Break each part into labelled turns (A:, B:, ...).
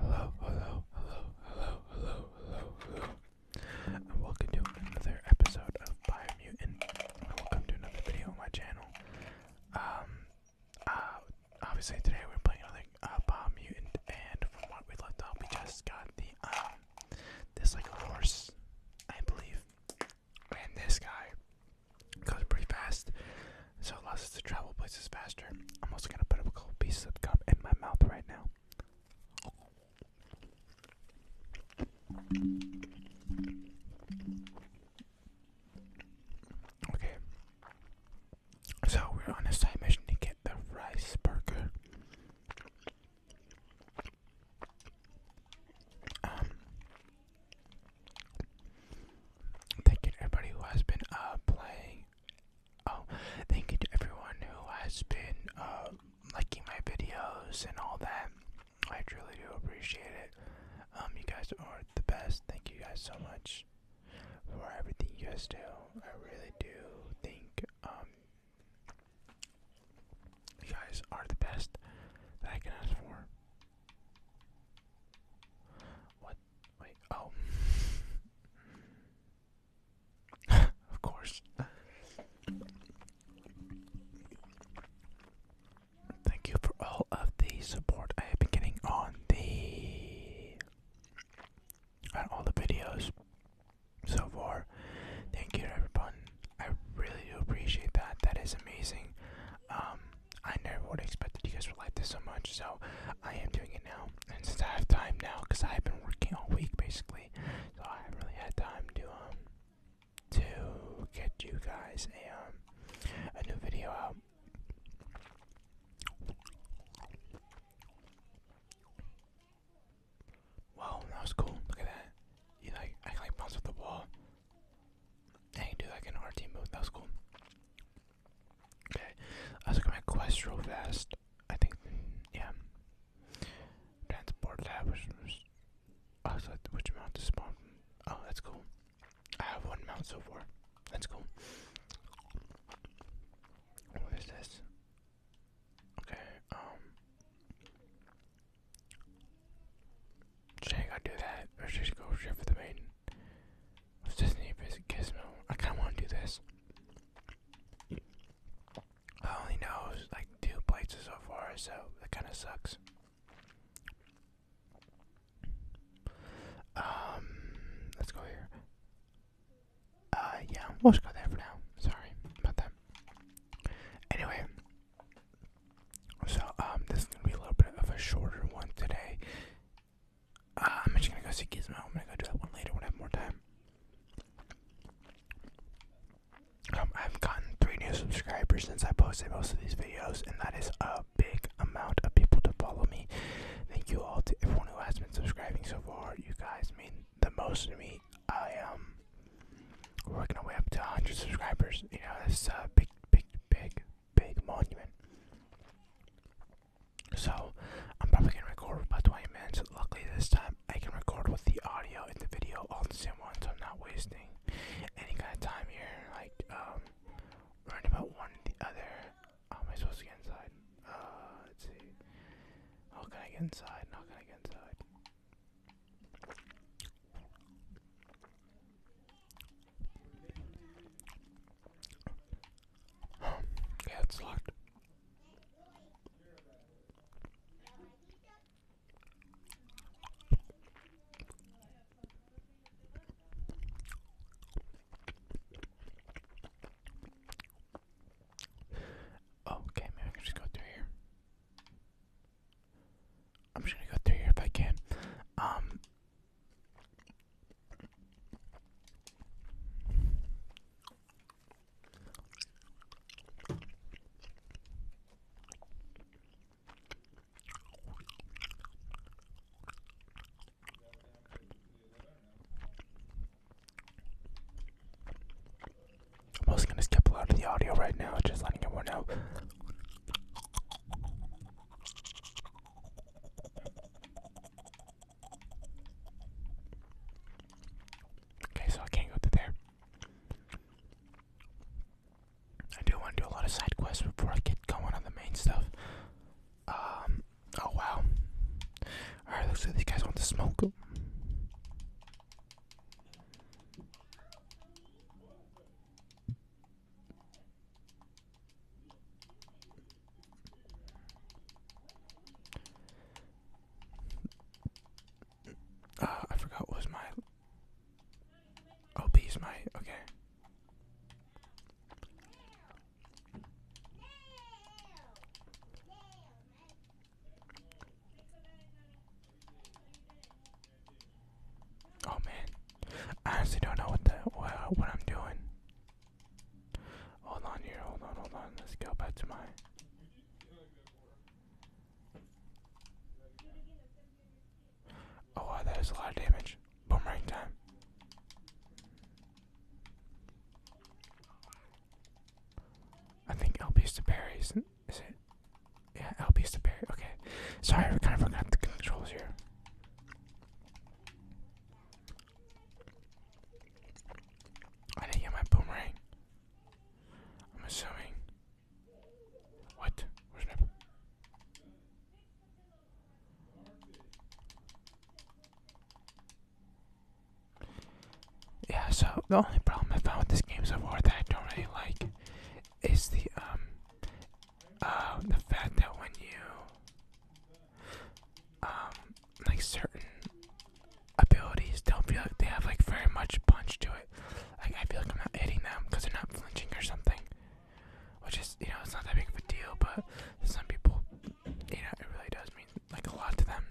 A: Hello, hello, hello, hello, hello, hello, hello. And welcome to another episode of Biomutant. And welcome to another video on my channel. Um, uh, obviously today we're playing another uh, Biomutant, and from what we left off, we just got the, um, this, like, horse, I believe. And this guy, goes pretty fast, so it allows us to travel places faster. I'm also gonna put a couple pieces of gum in my mouth right now. Okay, so we're on a side mission to get the rice burger. Um, Thank you everybody who has been uh, playing. Oh, thank you to everyone who has been uh, liking my videos and all that. I truly do appreciate it. Um, you guys are the best. Thank you guys so much for everything you guys do. I really do think um, you guys are the best that I for. What Wait, oh. of course. Thank you for all of the support I have been getting on the on all the videos so far. Thank you everyone. I really do appreciate that. That is amazing. Um I never would have expected you guys would like this so much, so I am doing it now. And since I have time now, because I've been working all week basically, so I have really had time to um to get you guys a um a new video out. Wow, that was cool. Look at that. You like I like bounce off the wall. And you do like an RT move. That was cool. Okay, let's go my quest I think, yeah. Transport lab, which, oh, which, mount to spawn? Oh, that's cool. I have one mount so far. That's cool. What is this? Okay, um. Should I go do that? Or should I go straight for the main? Let's Disney visit Gizmo. I kind of want to do this. I only know like two places so far, so that kind of sucks. Um, let's go here. Uh, yeah, we'll just go there for now. Sorry about that. Anyway, so um, this is gonna be a little bit of a shorter one today. I'm just gonna go see Gizmo. I'm gonna go do that one later when I have more time. Um, I've gotten three new subscribers since I posted most of these videos, and that is a big amount of people to follow me. Thank you all to everyone who has been subscribing so far. You guys mean the most to me. I am um, working our way up to 100 subscribers. You know, that's a uh, big, big, big, big monument. So I'm probably gonna record about 20 minutes. Luckily this time I can record with the audio and the video all the same one, so I'm not wasting any kind of time here. Like um, learn about one or the other. How am I supposed to get inside? Uh, let's see. How can I get inside? How can I get inside? yeah, it's locked. Oh, okay, maybe I can just go through here. I'm gonna go through here if I can. Um, I'm also going to skip a lot of the audio right now, just letting everyone know. Okay, so I can't go through there. I do want to do a lot of side quests before I get going on the main stuff. Um, oh wow. Alright, looks like these guys want to smoke. Uh, I forgot what was my. Oh, bees, my. Okay. Oh man, I honestly don't know what the what, I'm doing. Hold on here, hold on, hold on. Let's go back to my. Oh wow, that is a lot of damage. Boomerang time. I think LB's the berries. Is it? Yeah, LB the barrier. Okay. Sorry, we kind of forgot the controls here. I didn't get my boomerang. I'm assuming. What? Where's my yeah, so the only problem I found with this game so far that I don't really like is the um uh, the fact that when you, um, like certain abilities don't feel like they have like very much punch to it. Like I feel like I'm not hitting them because they're not flinching or something, which is you know it's not that big of a deal, but some people, you know, it really does mean like a lot to them.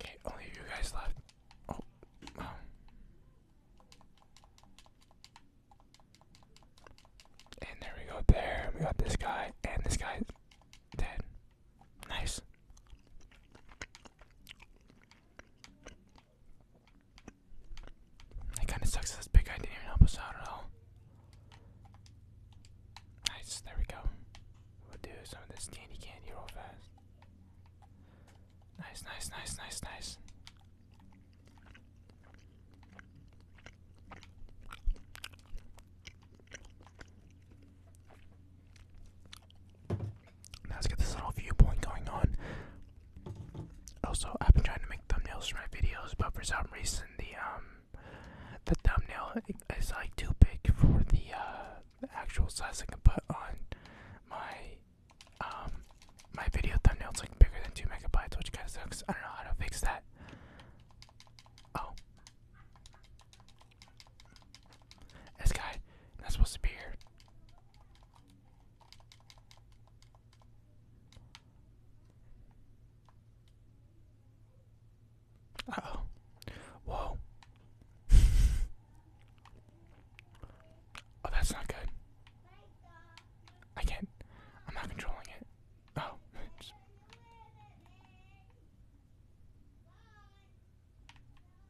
A: Okay, only you guys left. Oh, oh. And there we go. There we got this guy, and this guy's dead. Nice. It kind of sucks this big guy didn't help us out at all. Nice, there we go. We'll do some of this candy candy real fast. Nice, nice, nice, nice, nice let's get this little viewpoint going on. Also, I've been trying to make thumbnails for my videos, but for some reason the um the thumbnail is like too big for the uh, actual size I can put on my um my video thumbnail's like bigger than two megabytes, which kinda sucks. I don't know how to fix that. Oh. This guy, not supposed to be here. oh. Whoa. oh, that's not good. I can't. I'm not controlling it. Oh.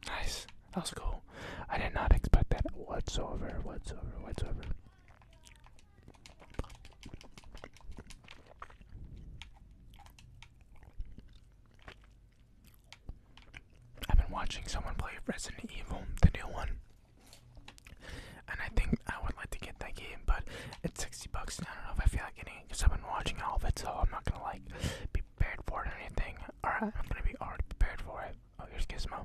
A: Nice. That was cool. I did not expect that whatsoever, whatsoever, whatsoever. I've been watching someone play Resident Evil, the new one. And I think I would like to get that game, but it's 60 bucks and I don't know if I feel like getting it because I've been watching all of it, so I'm not gonna like be prepared for it or anything. Alright, I'm gonna be already prepared for it. Oh, here's Gizmo.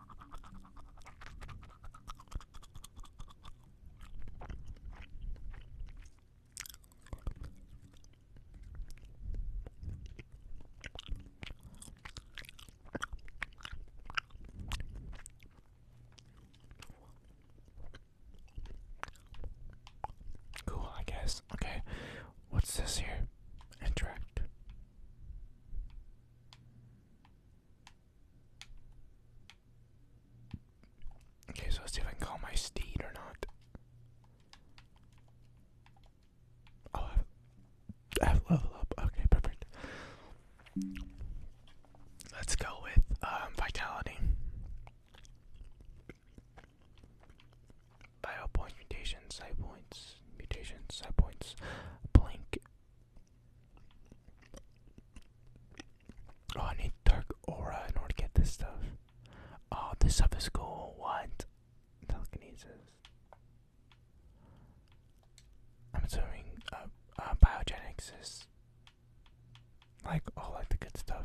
A: Cool, I guess. Okay, what's this here? Interact. Okay, so let's see if I can call my steed or not. Oh, I have, I up. Okay, perfect. Let's go with um, vitality. Bio points, mutations, side points, mutations, side points, blink, Oh, I need dark aura in order to get this stuff. Oh, this stuff is cool. What? Telekinesis. I'm assuming uh, uh is like all like the good stuff.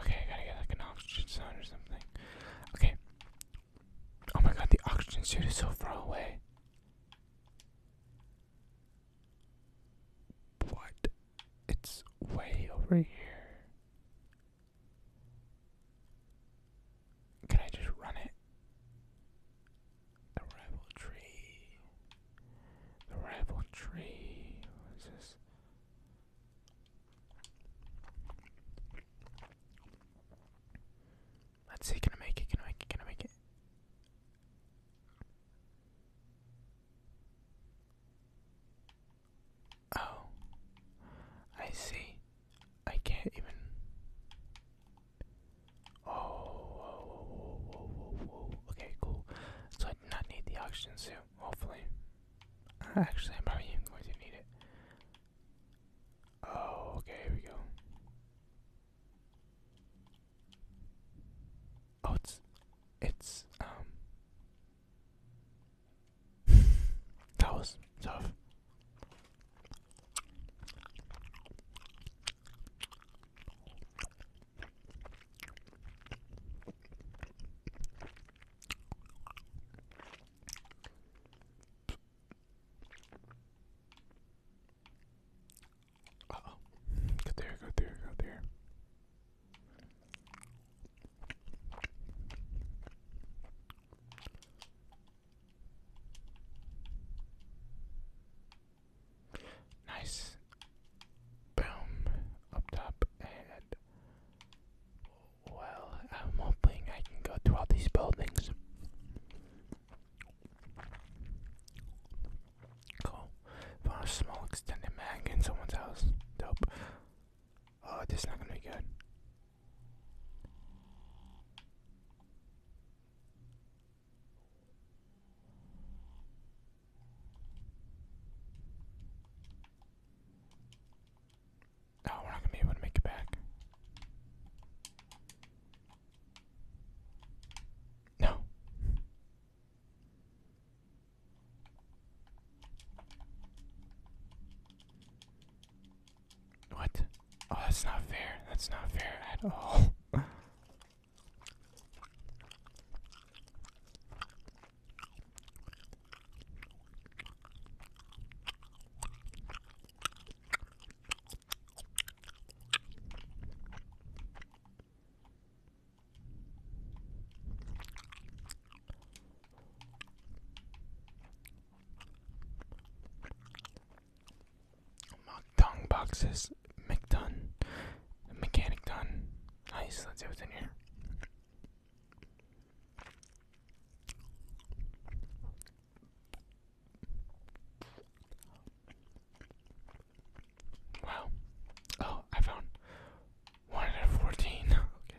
A: Okay, I gotta get like an oxygen sound or something. Okay. Oh my god, the oxygen suit is so far away. What? It's way over here. Can I just run it? The rivalry. The rivalry. What is this? Let's see, can I make it? Can I make it? Can I make it? Oh, I see. I can't even. Oh, Okay, cool. So I do not need the oxygen suit, hopefully. Actually, I'm probably even going to need it. Oh, okay, here we go. Oh, it's. It's, um. that was tough. Uh oh. Go there, go there, go there. Nice. Boom. Up top well, I'm hoping I can go through all these buildings. Cool. Found a small extended mag in someone's house. Dope. Oh, this is not gonna be good. Oh, we're not gonna be able to make it back. No. What? Oh, that's not fair. That's not fair at all. Mukdung boxes. McDun. Mechanic done. Nice, let's see what's in here. Wow. Oh, I found one out of fourteen. okay.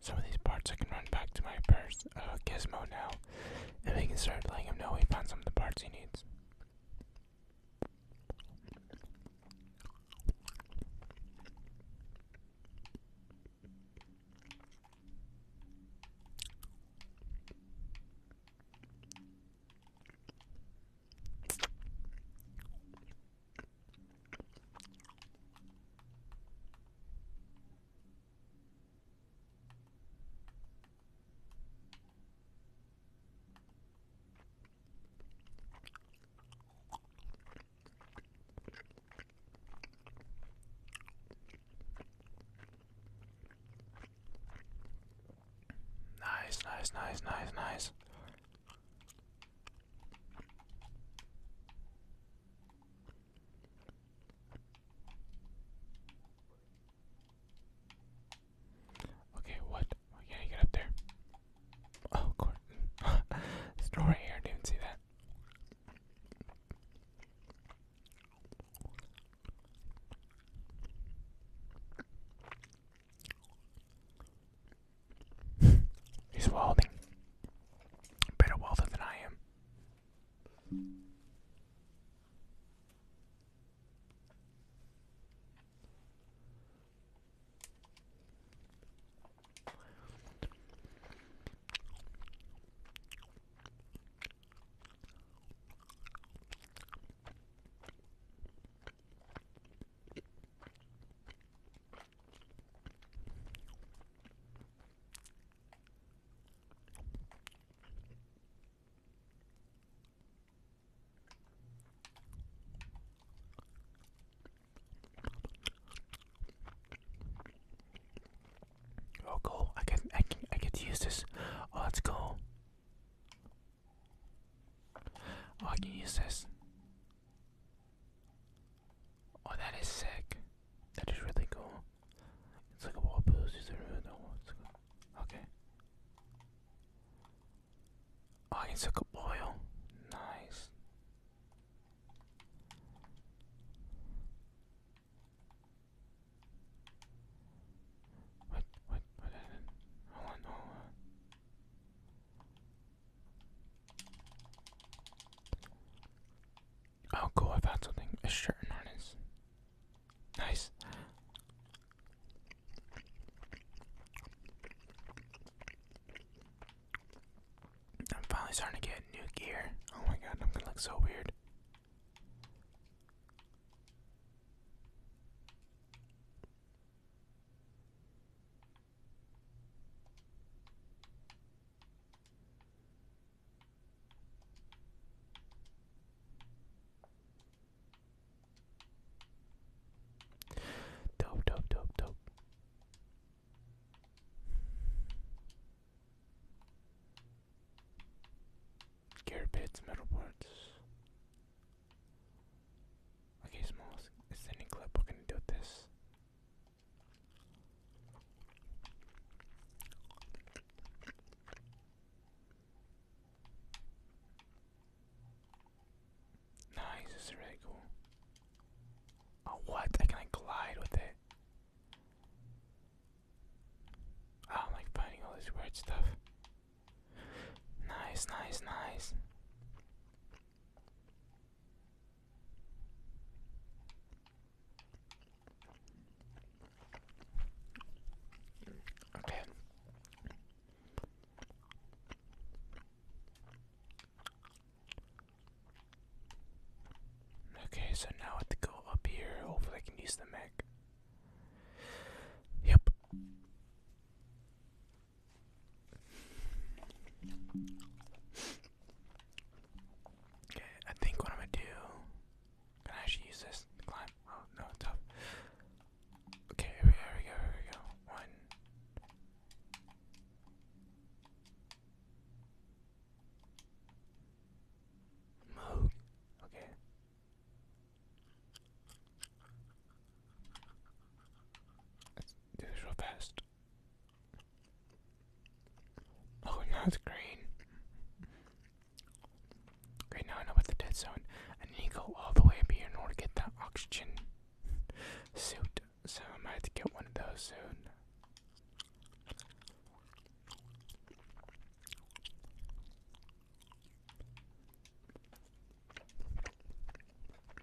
A: Some of these parts I can run back to my purse, uh, Gizmo now, and we can start letting him know we found some of the parts he needs. Nice, nice, nice, nice, nice. Okay, what? Oh, get up there. Oh, of course. here. didn't see that. He's holding better welder than I am. Oh cool, I can I can I get use this. Oh that's cool. Oh I can use this. Oh, that is sick. That is really cool. It's like a wall boost. Is Okay. Oh, it's like a boil. Nice. What? What? What? Oh, cool, I found something. A shirt harness. Nice. I'm finally starting to get new gear. Oh my god, I'm gonna look so weird. Dope, dope, dope, dope. Gear pits, metal parts. Okay, Smalls, it's any clip. We're gonna do this. Nice, this is really cool. Oh, what? Can I glide with it? Ah, I like finding all this weird stuff. Nice, nice, nice. Okay. Okay, so now I have to go up here. Hopefully, I can use the mech. Yep. Okay, I think what I'm gonna do. Can I actually use this to climb? Oh no, it's Okay, here we go, here we go, One. Move. Okay. Let's do this real Oh, now it's green. Great, now I know about the dead zone. I need to go all the way up here in order to get that oxygen suit. So I might have to get one of those soon.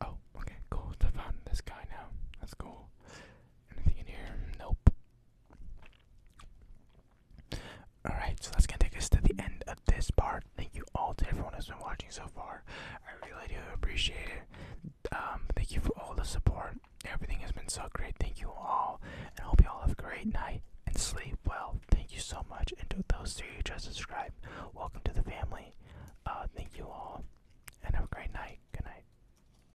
A: Oh, okay, cool. i found this guy now. That's cool. Anything in here? Nope. Alright, so that's gonna take us to the end of this part. Thank you all to everyone who's been watching so far. I really do appreciate it. Um, thank you for all the support. Everything has been so great. Thank you all, and I hope you all have a great night and sleep well. Thank you so much. And to those three who just subscribed, welcome to the family. Uh, thank you all, and have a great night. Good night.